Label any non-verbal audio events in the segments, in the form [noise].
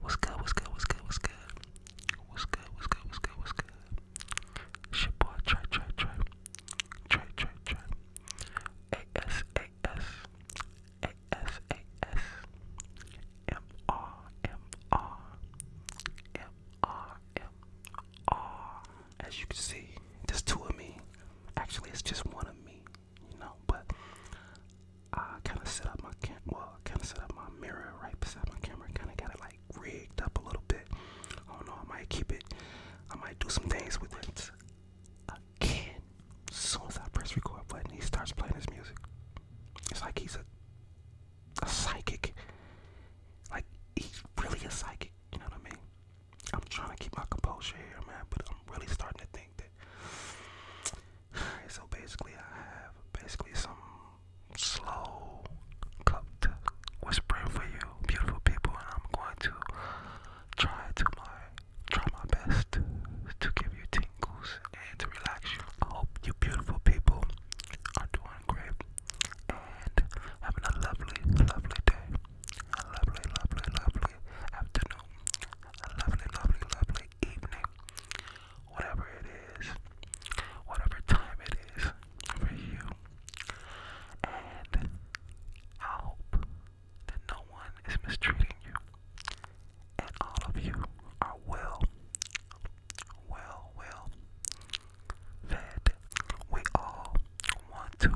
What's good? What's good? What's good? What's good? What's good? What's good? What's good? What's good? It's your boy Trey, Trey, Trey, Trey, Trey, Trey. A S A S A S A S M R M R M R M R. As you can see, there's two of me. Actually, it's just one of me you know. But I kind of set up my well, kind of set up my mirror right beside my camera, kind of got it like rigged up a little bit. I do I might keep it. I might do some things with it again. As soon as I press record button, he starts playing his music. It's like he's a a psychic. Like he's really a psychic. You know what I mean? I'm trying to keep my composure here, man, but I'm really starting to think. [sighs] so basically I have basically some slow cooked whispering for you beautiful people and I'm going to try to my try my best to give you tingles and to relax you. I hope you beautiful people are doing great and having a lovely lovely day. A lovely lovely lovely afternoon, a lovely, lovely, lovely evening, whatever it is, whatever time it is for you. And I hope that no one is mistreating you, and all of you are well, well, well fed. We all want to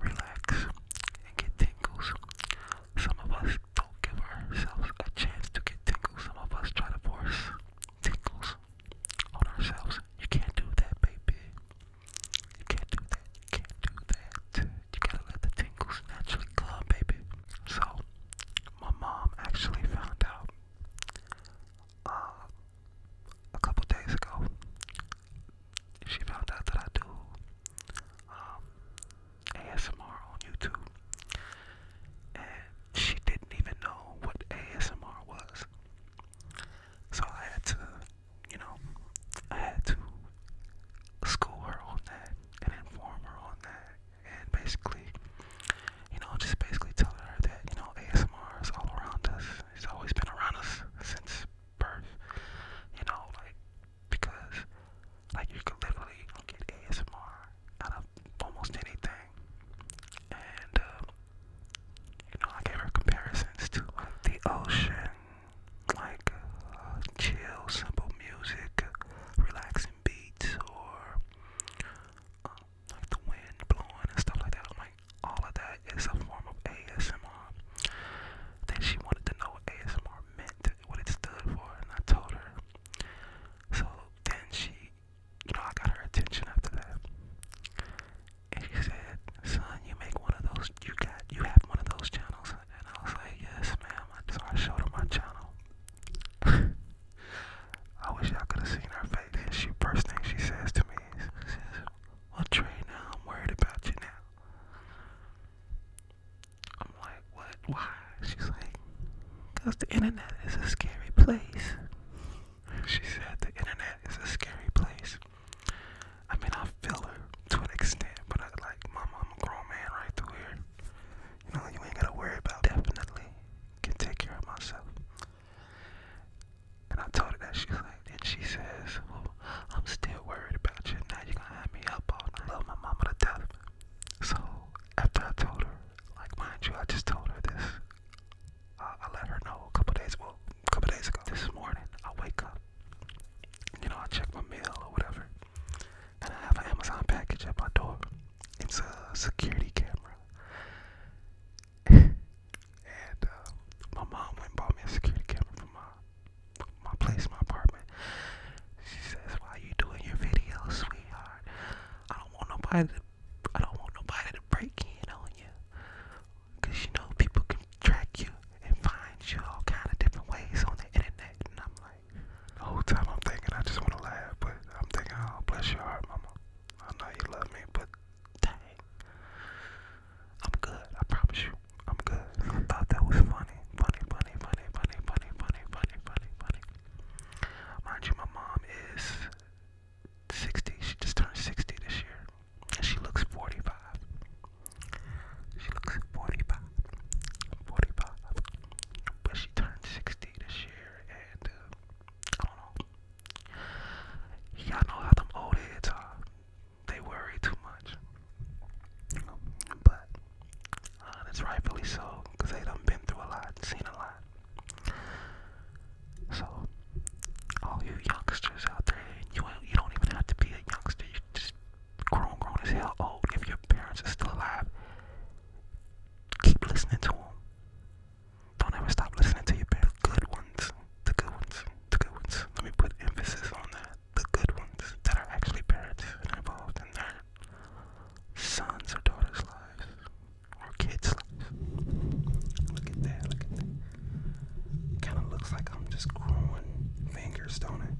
relax, and get tingles. Some of us don't give ourselves a chance to get tingles. Some of us try to force tingles on ourselves. You can't do that, baby. You can't do that. You can't do that. You gotta let the tingles naturally come, baby. So, my mom actually found out uh, a couple days ago she found out that I do um, ASMR on YouTube, and she didn't even know what ASMR was. So I had to, you know, I had to school her on that and inform her on that, and basically, you know, just basically telling her that you know ASMR is all around us. It's always been around us since birth, you know, like because like you could literally get ASMR out of almost anything, and uh, you know, I gave her comparisons to the ocean, like uh, chill, simple music, relaxing beats, or uh, the wind blowing and stuff like that all of that is a form of ASMR. Then she wanted to know what ASMR meant, what it stood for, and I told her. So then she, you know, I got her attention after that. And she said, "Son, you make one of those. You got, you have one of those channels." And I was like, "Yes, ma'am." So I showed her my channel. [laughs] I wish y'all could have seen her face. She first thing she says to me is, well, Trey, I'm worried about you now. I'm like, what? Why? She's like, because the internet is a scary place. She said the internet is a scary place. I mean, I feel her to an extent, but I am like, mama, I'm a grown man right through here. You know, you ain't gotta worry about. It. Definitely can take care of myself. And I told her that she's like, and she says, well, I'm still worried about you. Now you're gonna have me up all I love my mama to death. So after I told her, like mind you, I just told her this. I, I let her know a couple days, well, a couple days ago. This morning, I wake up. You know, I check my mail or whatever, and I have an Amazon package at my door. It's a security camera and uh, my mom went bought me a security camera for my my place, my apartment. She says, "Why you doing your videos, sweetheart? I don't want nobody to, I don't want nobody to break in on you, cause you know people can track you and find you all kind of different ways on the internet." And I'm like, the whole time I'm thinking I just want to laugh, but I'm thinking, "Oh, bless your heart, mama. I know you love me, but Dang. I'm good, I promise you. I'm good. I thought that was funny. Funny, funny, funny, funny, funny, funny, funny, funny, funny. Mind you, my mom is 60. She just turned 60 this year. And she looks 45. She looks 45. 45. But she turned 60 this year, and uh, I don't know. Y'all know how them old heads are. They worry too much. But uh, rightfully so, because they done been through a lot, seen a lot. So, all you youngsters out there, you you don't even have to be a youngster. You just grown, grown as hell, old. If your parents are still alive, keep listening to them. Don't ever stop listening to your best good ones. The good ones. The good ones. Let me put emphasis on that. The good ones that are actually parents and involved in their sons or daughters' lives or kids' lives. Look at that. Look at that. Kind of looks like I'm just growing fingers, don't it?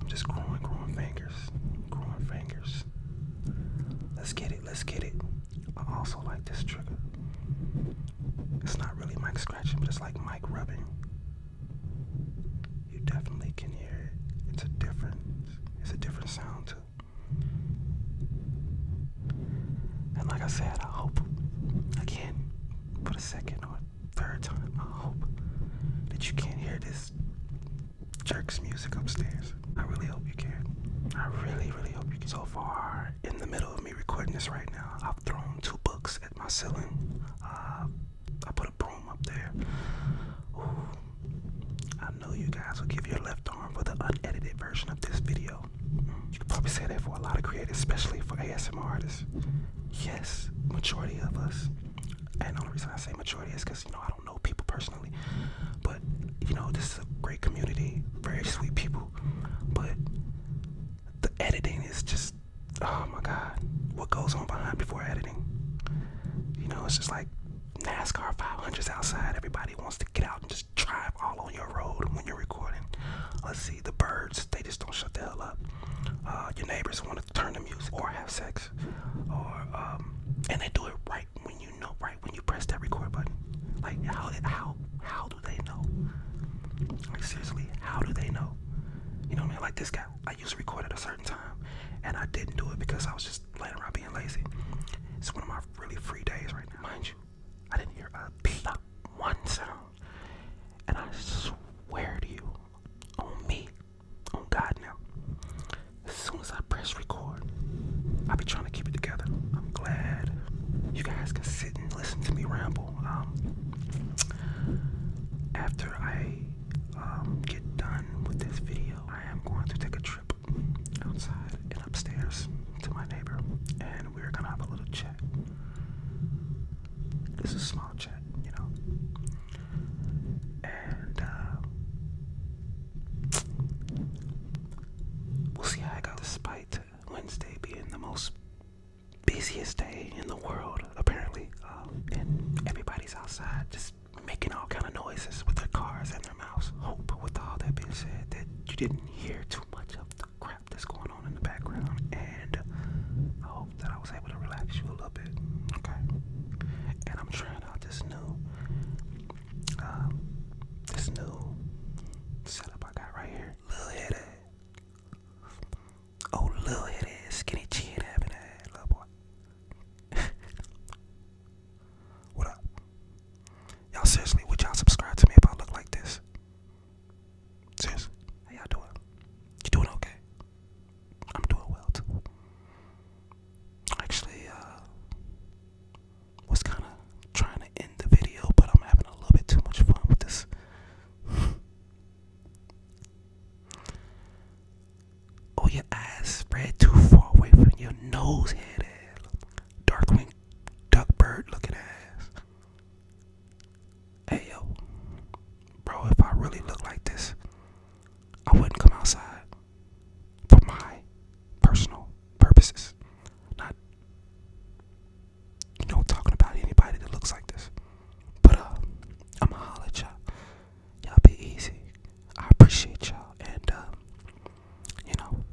I'm just growing, growing fingers, growing fingers. Let's get it, let's get it. I also like this trigger. It's not really Mike scratching, but it's like Mike rubbing. You definitely can hear it. It's a different it's a different sound too. And like I said, I hope again for a second or third time, I hope that you can hear this Jerks music upstairs. I really hope you can. I really, really hope you can. So far, in the middle of me recording this right now, I've thrown two books at my ceiling. Uh, I put a broom up there. I know you guys will give your left arm for the unedited version of this video. You can probably say that for a lot of creators, especially for ASMR artists. Yes, majority of us. And the only reason I say majority is because, you know, I don't know people personally, but you know, this is a great community, very sweet people. But the editing is just oh my god, what goes on behind before editing? You know, it's just like NASCAR 500s outside, everybody wants to get out and just drive all on your road when you're recording. Let's see, the birds, they just don't shut the hell up. Uh, your neighbors want to turn the music or have sex, or um, and they do it right when you know, right when you press that record button. Like how how how do they know? Like seriously, how do they know? You know what I mean? Like this guy, I used to record at a certain time, and I didn't do it because I was just laying around being lazy. It's one of my really free days right now, mind you. I didn't hear a beat, one sound, and I swear to you, on me, on God now. As soon as I press record, I'll be trying to keep it together. I'm glad you guys can sit and listen to me ramble. Um, after I um, get done with this video, I am going to take a trip outside and upstairs to my neighbor, and we're gonna have a little chat. It's a small chat, you know. And uh, we'll see how I go. Despite Wednesday being the most busiest day in the world, apparently, uh, and everybody's outside just making all kind of noises with their cars and their mouths. Hope, with all that being said, that you didn't hear too much of the crap that's going on in the background, and hope that I was able to relax you a little bit. Okay. And I'm trying out this new uh, this new setup I got right here. Little head Oh little head skinny chin having that little boy. [laughs] what up? Y'all seriously, would y'all subscribe to me if I look like this? Seriously, how y'all doing? You doing okay? I'm doing well too. Actually, uh, was kind of trying to end the video, but I'm having a little bit too much fun with this. [laughs] oh, your eyes spread too far away from your nose, head ass. Darkwing duck bird looking ass. Hey yo, bro, if I really look like this, I wouldn't come outside for my personal purposes. Not, you know, talking about anybody that looks like this. But uh, I'ma holler y'all. Y'all be easy. I appreciate y'all, and uh, you know.